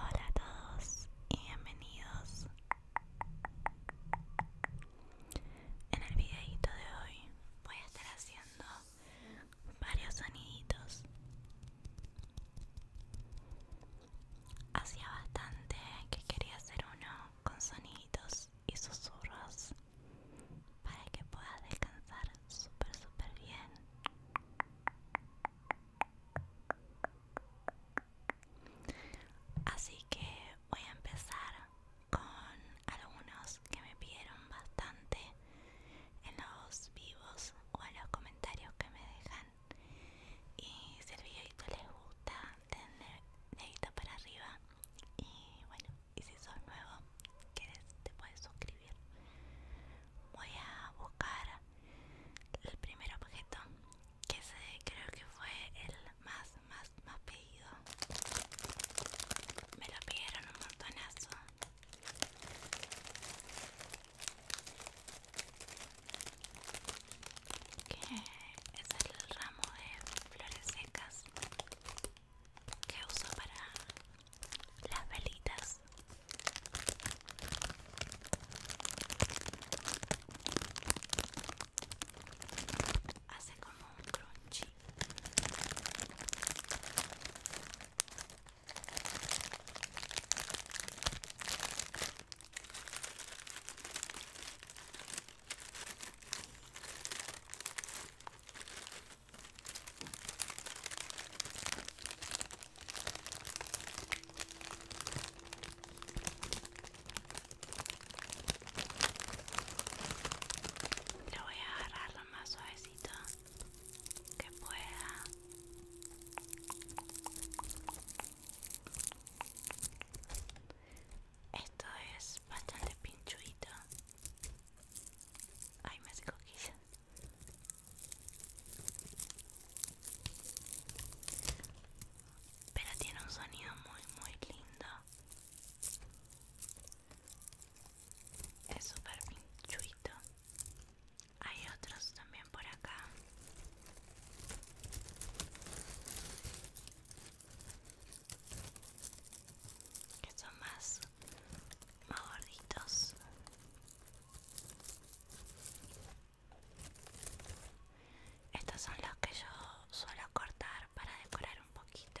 Hola a todos y bienvenidos. En el videito de hoy voy a estar haciendo varios soniditos. Hacía bastante que quería hacer uno con soniditos y susurros para que puedas descansar súper súper bien así que voy a empezar con algunos que me pidieron bastante en los vivos o en los comentarios que me dejan y si el videito les gusta denle dedito para arriba y bueno y si sos nuevo quieres te puedes suscribir voy a buscar el primer objeto que se creo que fue el más más más pedido me lo pidieron un montonazo que es el ramo de flores secas que uso para las velitas hace como un crunchy lo voy a agarrar lo más suavecito que pueda. Esto es bastante pinchuito Ay, me hace coquillas. Pero tiene un sonido muy, muy lindo. Es súper pinchuito. Hay otros también por acá que son más gorditos estos son los que yo suelo cortar para decorar un poquito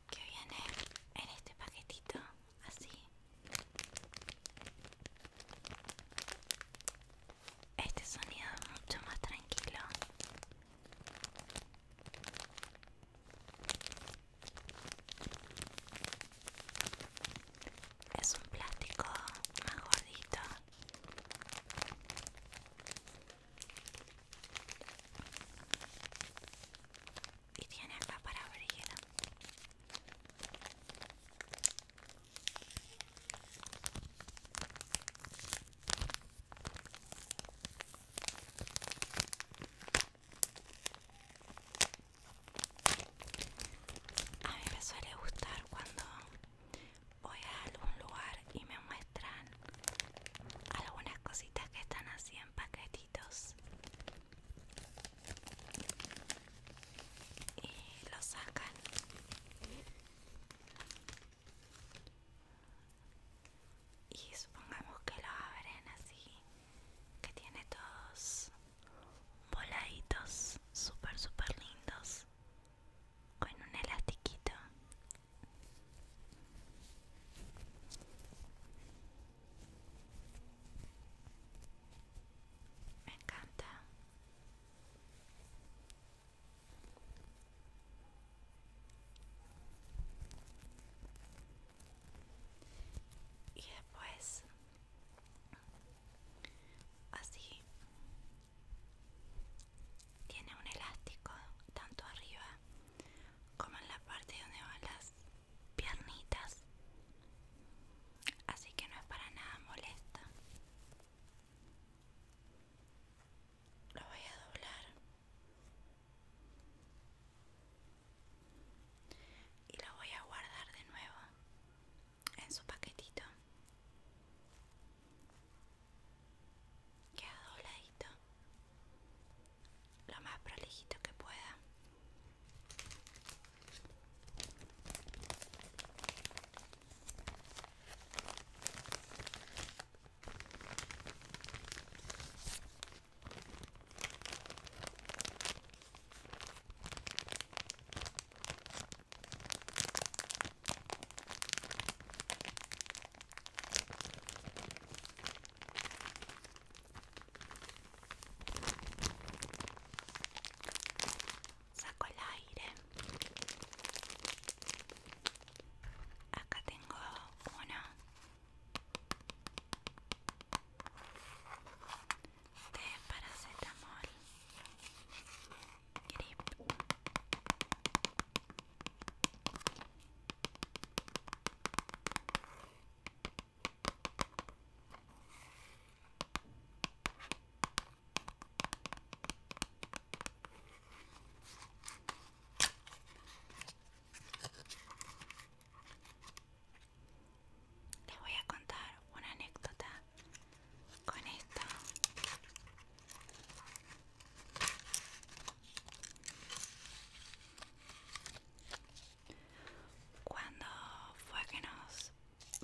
que viene en este paquetito así este sonido mucho más tranquilo es un plástico más gordito y tiene acá para abrir a mí me suele gustar cuando voy a algún lugar y me muestran algunas cositas que están así en paquetitos y lo sacan y supongamos que lo abren así que tiene todos voladitos super super lindos con un elastiquito me encanta. Y después, así, tiene un elástico tanto arriba como en la parte donde van las piernitas. Así que no es para nada molesta. Lo voy a doblar. Y lo voy a guardar de nuevo en su paquetito queda dobladito lo más prolijito que pueda Saco el aire. Acá tengo uno. De paracetamol grip. voy a contar una anécdota con esto cuando fue que nos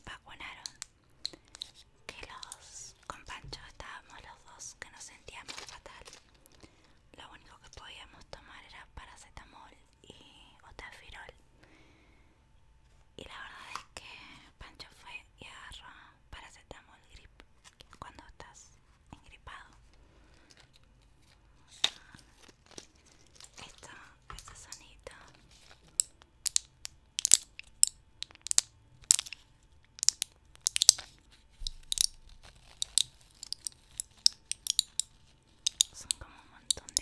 vacunaron, que los con Pancho estábamos los dos que nos sentíamos fatal, lo único que podíamos tomar era paracetamol y otafirol. Y la verdad es que Pancho fue y agarró paracetamol grip cuando estás engripado. Esta, esta sonita Son como un montón de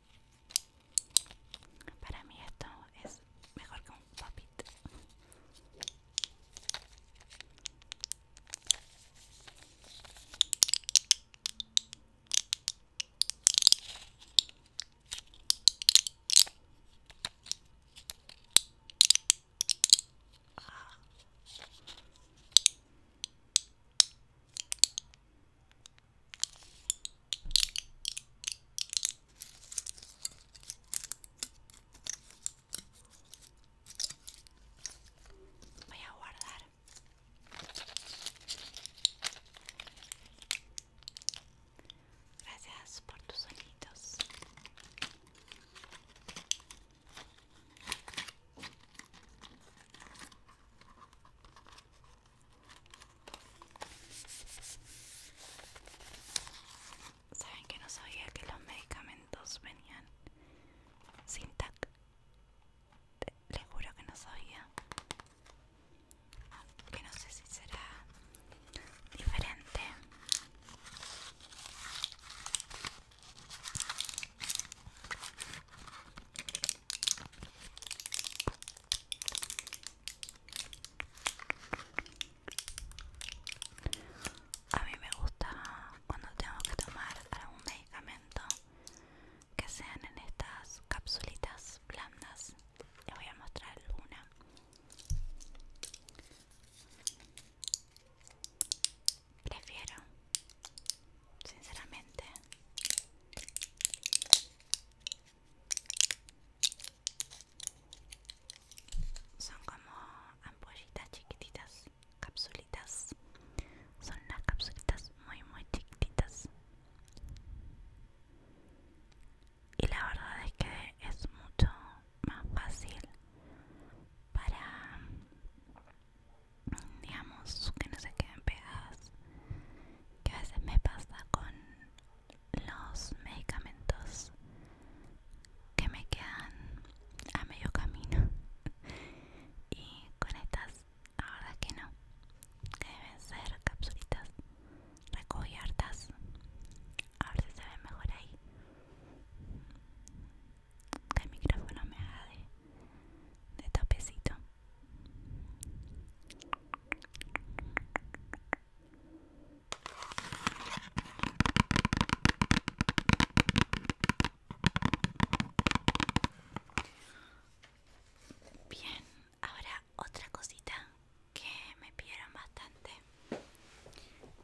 Para mí esto es mejor que un papito. Voy a guardar. Gracias por tus sonidos. Saben que no sabía que los medicamentos venían sin tac. Les juro que no sabía. Que no sé si será diferente. A mí me gusta cuando tengo que tomar algún medicamento que sean en estas capsulitas blandas. Les voy a mostrar alguna. Prefiero, sinceramente, son como ampollitas chiquititas, capsulitas. Son las capsulitas muy, muy chiquititas. Y la verdad es que es mucho más fácil para, digamos, que no se queden pegadas que a veces me pasa con los medicamentos que me quedan a medio camino y con estas la verdad que no que deben ser capsulitas recogiertas a ver si se ve mejor ahí que el micrófono me haga de de tapecito Bien, ahora otra cosita que me pidieron bastante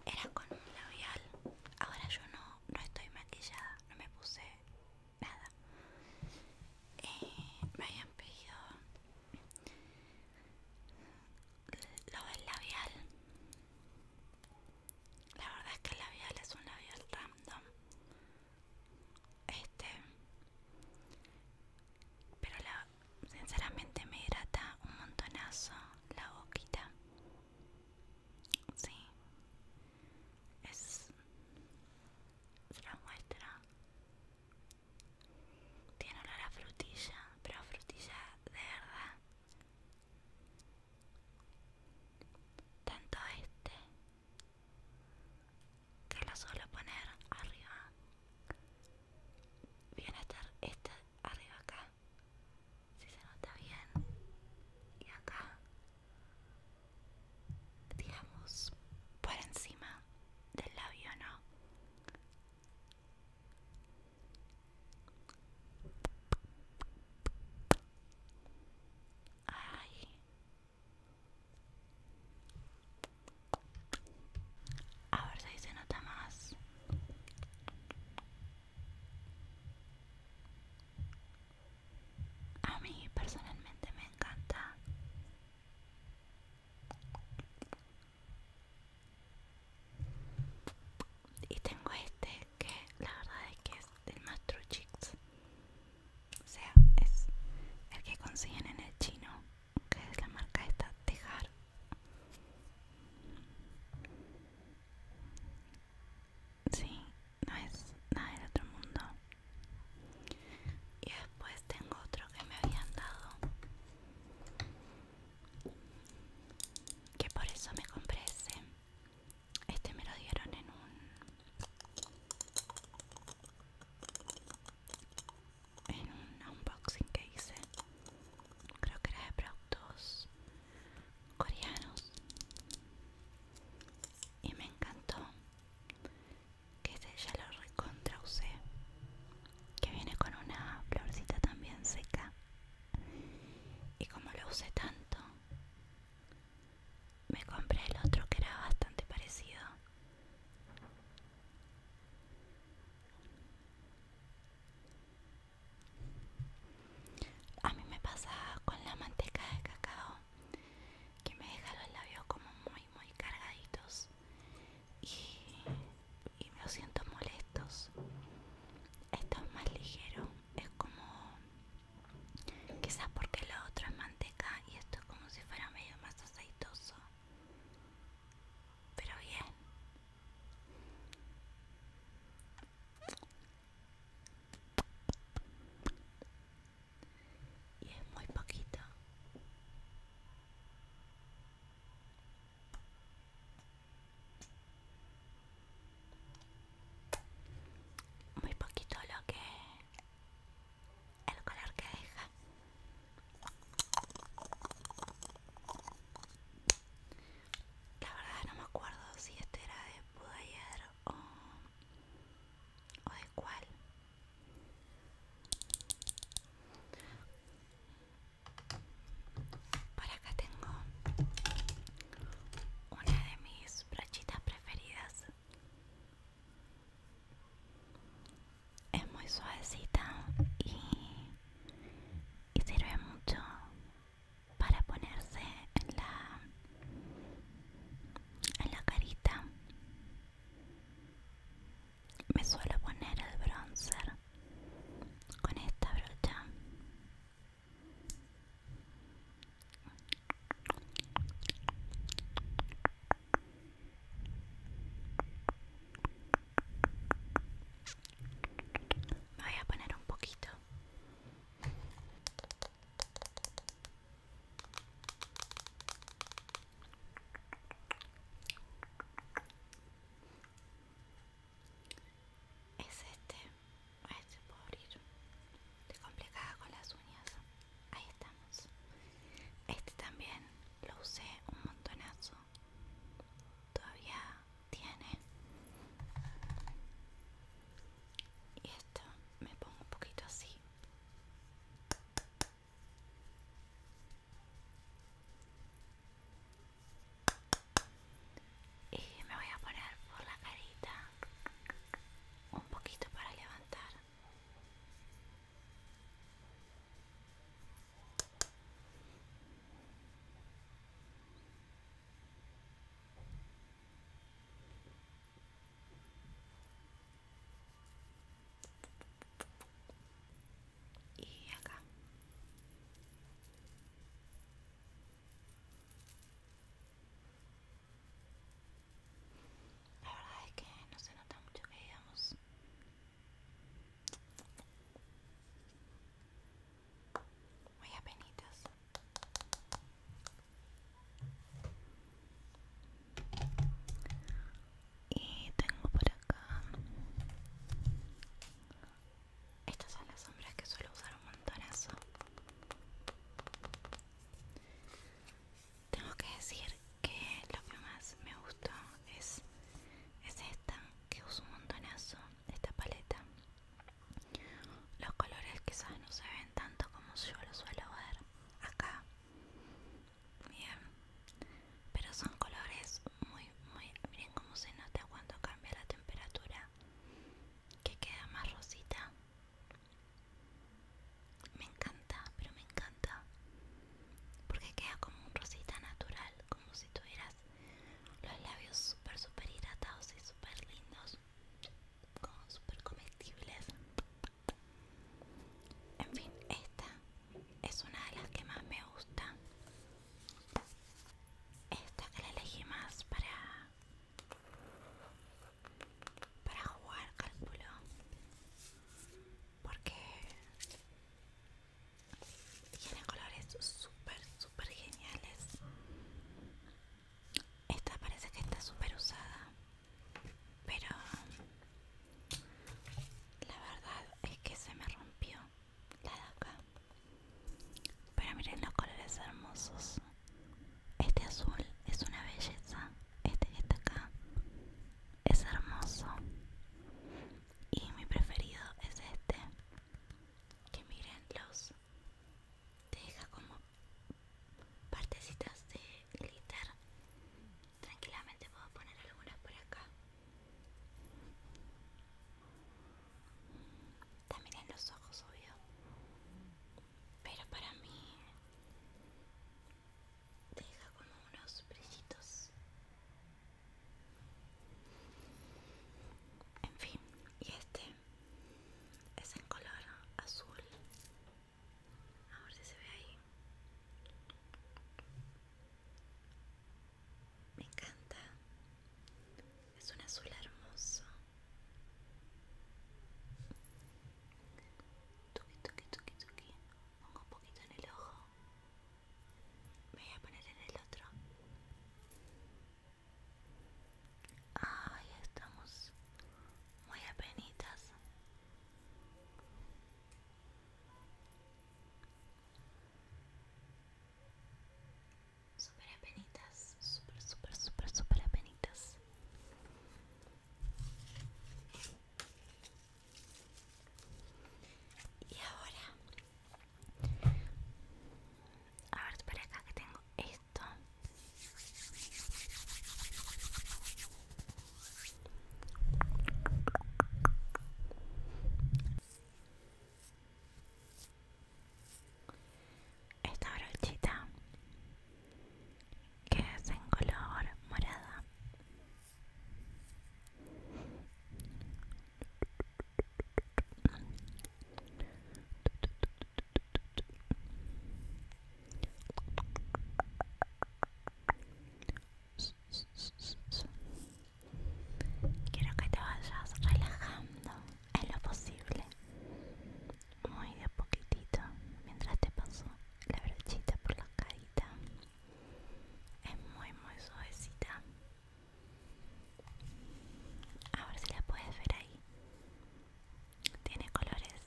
era con un labial. Ahora yo no, no estoy maquillada, no me puse nada eh, me habían pedido lo del labial la verdad es que el labial es un labial random este pero la, sinceramente me hidrata un montonazo la boquita sí es se la muestra tiene olor a frutilla pero frutilla de verdad tanto este que lo suelo poner arriba viene a estar este arriba acá si se nota bien y acá digamos, por encima del labio, ¿no? Ay. A ver si se nota más a mí personalmente me encanta y tengo este que la verdad es que es del Mastro Chicks o sea es el que consiguen en el chino que es la marca esta Tejar sí, no es nada del otro mundo. Y después tengo otro que me habían dado. Que por eso me compré ese. Este me lo dieron en un... En un unboxing que hice. Creo que era de productos coreanos y me encantó que ese ya lo recontra usé que viene con una florcita también seca y como lo usé tanto me compré el otro que era bastante parecido a mí me pasa con la manteca de cacao que me deja los labios como muy muy cargaditos y, me siento molestos esto es más ligero es como quizás porque lo otro es manteca y esto es como si fuera medio más aceitoso pero bien y es muy poquito muy poquito lo que el color que deja la verdad no me acuerdo si este era de Pudayer o, de cuál por acá tengo una de mis brochitas preferidas es muy suavecita y, y sirve mucho para ponerse en la en la carita me suelo poner el bronzer con esta brocha me voy a poner un poquito es este. este puedo abrir. complicada con las uñas. Ahí estamos. Este también lo usé un montonazo. Todavía tiene y esto me pongo un poquito así y me voy a poner por la carita un poquito para levantar y acá la verdad es que no se nota mucho que digamos muy apenitas. Y tengo por acá estas son las sombras que suelo usar un montonazo. Tengo que decir que lo que más me gusta es, es esta que uso un montonazo esta paleta los colores quizás no se ven tanto como yo lo suelo ver acá bien pero son colores muy muy miren cómo se nota cuando cambia la temperatura que queda más rosita me encanta pero me encanta porque queda como un rosita natural como si tuvieras los labios súper, súper hidratados y súper lindos. Como súper comestibles. En fin, esta es una de las que más me gusta. Esta que la elegí más para para jugar cálculo porque tiene colores súper super geniales. Esta parece que está súper usada, pero la verdad es que se me rompió la de acá. Pero miren los colores hermosos. Este azul es una belleza. Este que está acá es hermoso. Y mi preferido es este. Que miren los deja como partecitas de glitter tranquilamente puedo poner algunas por acá también en los ojos obvio pero para mí deja como unos brillitos en fin, y este es en color azul. A ver si se ve ahí. Me encanta. Es un azul hermoso. Tuki, tuki, tuki, tuki. Pongo un poquito en el ojo. Me voy a poner en el otro. Ahí estamos muy apenitas. Super apenitas, super, super, super, super apenitas. Y ahora a ver, espera acá que tengo esto. Esta brochita que es en color morada Quiero que te vayas relajando en lo posible, muy de poquitito, mientras te paso la brochita por la carita. Es muy, muy suavecita. A ver si la puedes ver ahí. Tiene colores.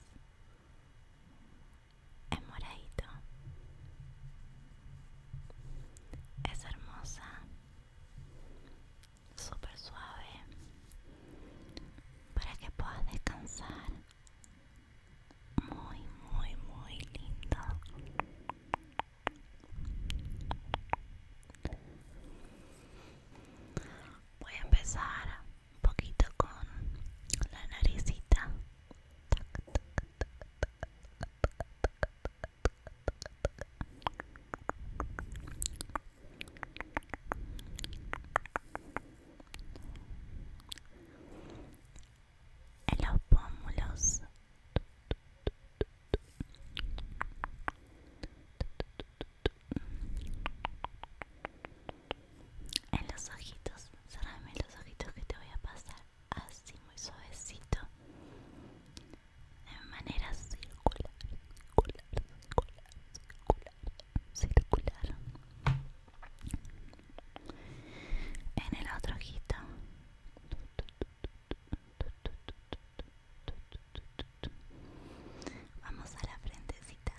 Es moradito. Es hermosa. Súper suave. Para que puedas descansar. Muy, muy, muy lindo. Voy a empezar un poquito con la naricita en los pómulos en los ojitos en los ojitos que te voy a pasar así muy suavecito de manera circular circular circular circular circular en el otro ojito Vamos a la frentecita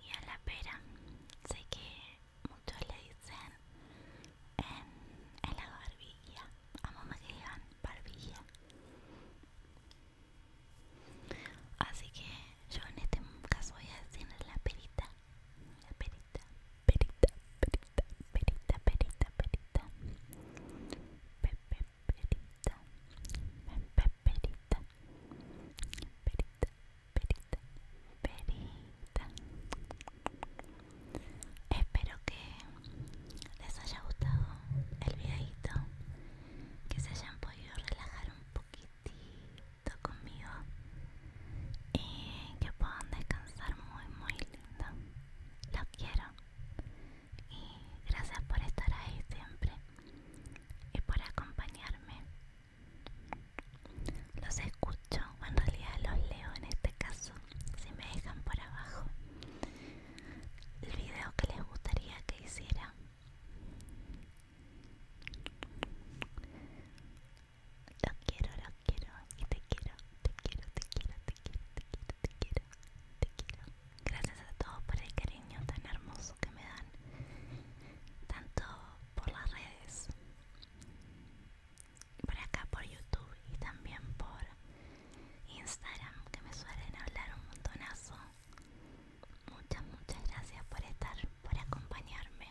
y a la pera. Sé que muchos le dicen en, la barbilla. A mamá que dan barbilla. Así que yo en este caso voy a decir la perita perita, perita, perita, perita, perita, perita, pepe, perita, pepe, perita, perita, perita, perita. Espero que les haya gustado el videito, que se hayan podido relajar un poquitito conmigo y eh, que puedan descansar muy muy lindo los quiero y gracias por estar ahí siempre y por acompañarme los escucho o en realidad los leo en este caso si me dejan por abajo el video que les gustaría que hiciera lo quiero, lo quiero y te quiero, te quiero, te quiero, te quiero, te quiero, te quiero, te quiero. Gracias a todos por el cariño tan hermoso que me dan, tanto por las redes, por acá por YouTube y también por Instagram, que me suelen hablar un montonazo. Muchas, muchas gracias por estar, por acompañarme.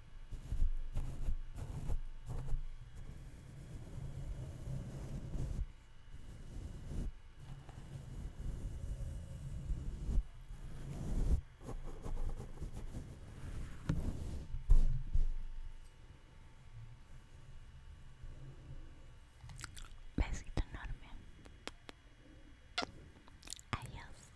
Besito enorme. Adiós.